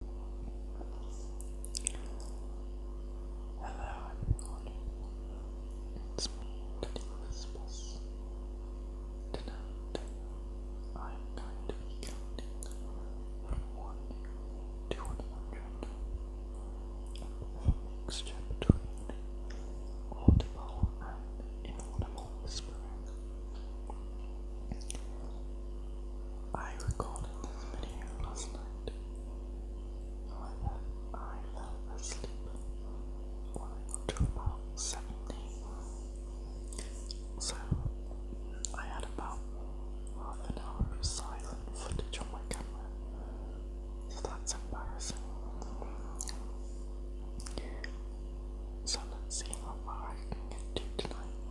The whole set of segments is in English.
Hello everyone, it's me, Teddy Christmas. Tonight, I'm counting from 1 to 100. A mixture between audible and inaudible whispering. I recorded this video last night. I fell asleep when about 17. So, I had about half an hour of silent footage on my camera. So that's embarrassing. So let's see how I can get to tonight.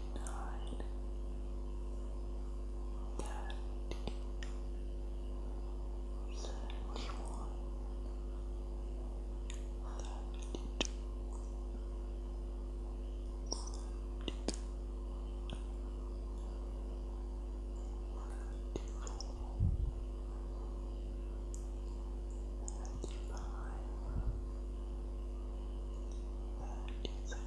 nine, thirty, thirty-one, thirty-two, thirty-four, thirty-five, thirty-six. 36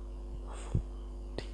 Fifty-three,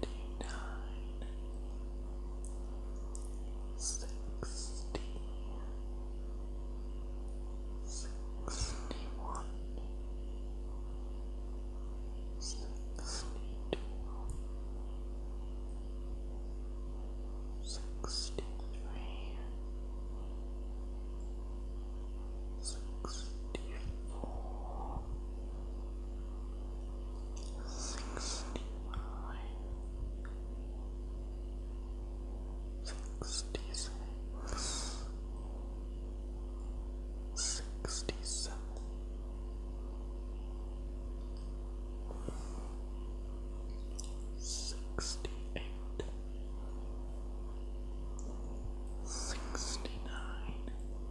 Twenty-nine, sixty, sixty-one, sixty-two, sixty-three, sixty-four sixty-five, sixty-six, sixty-seven. Sixty-eight, sixty-nine,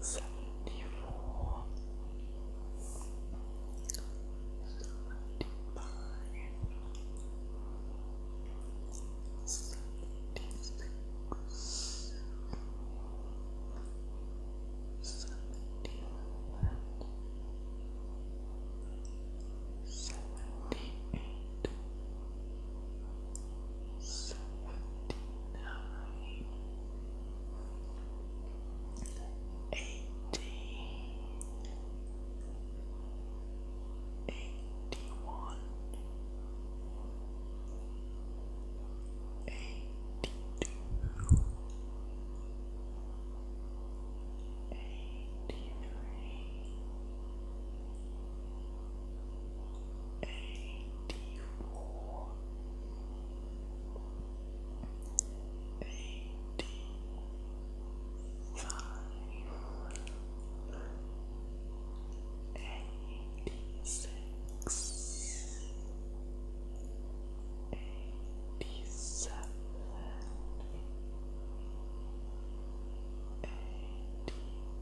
seventy four, seventy five, seventy six, seventy seven, seventy eight seventy-nine, eighty, eighty-one, eighty-two, eighty-three. 83 eighty four, eighty five, eighty six, eighty seven. Eighty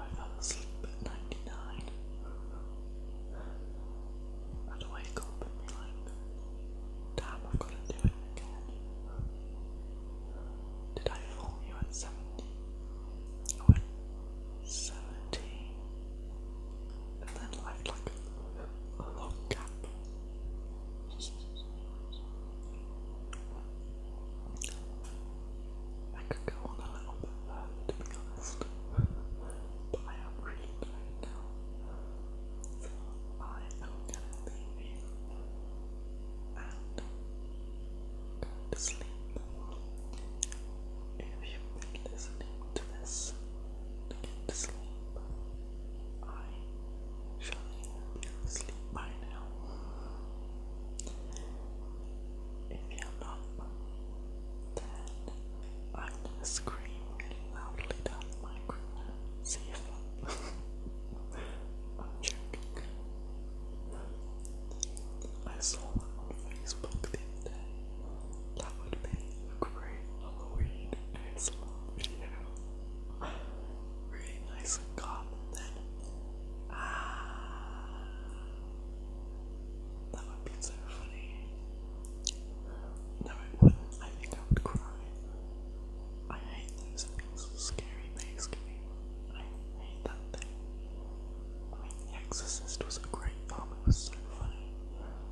I fell asleep at 99. I'd wake up and be damn, I've got to do it again. Did I fool you at 70? I And then left like a long gap. I could go on a little bit longer, to be honest. but I am really tired I am gonna leave and go to sleep. If you've been listening to this to get to sleep, I surely will be asleep by now if you're not, then I'm gonna scream really loudly down the microphone. See if I'm, joking. I saw that on Facebook the other day. That would be a great Halloween ASMR video. really nice and calm then. Ah. That would be so funny. No, it wouldn't. I think I would cry. I hate those things. Scary things to I hate that thing. The Exorcist was a great film. It was so funny.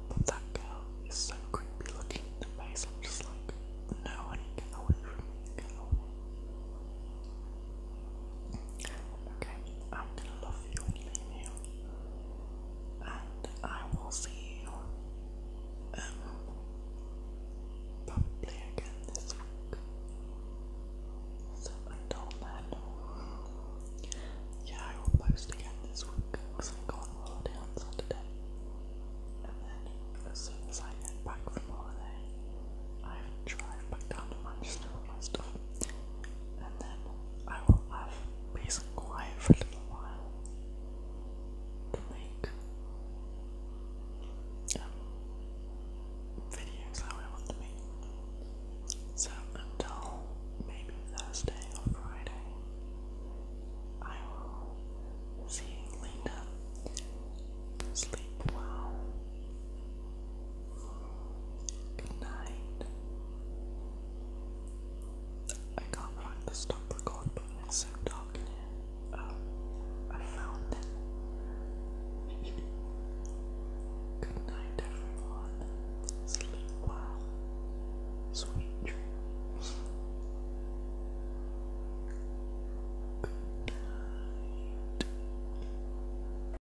But that girl is so creepy looking the face. I'm just like, no, honey, get away from me. Get Okay, I'm gonna love you and leave you, and I will see you um, probably again this week. So until then, yeah, I will post again this week because I go on holiday on Saturday, and then as soon as I get back from holiday. I drive back down to Manchester with my stuff and then I will have peace and quiet for a little while to make um, videos how I want to make. So until maybe Thursday or Friday, I will see you later. Sleep well. Good night. I can't find the stop record button, it's so dark in here. Um, I found it. Good night, everyone. Sleep well. Sweet dreams. Good night.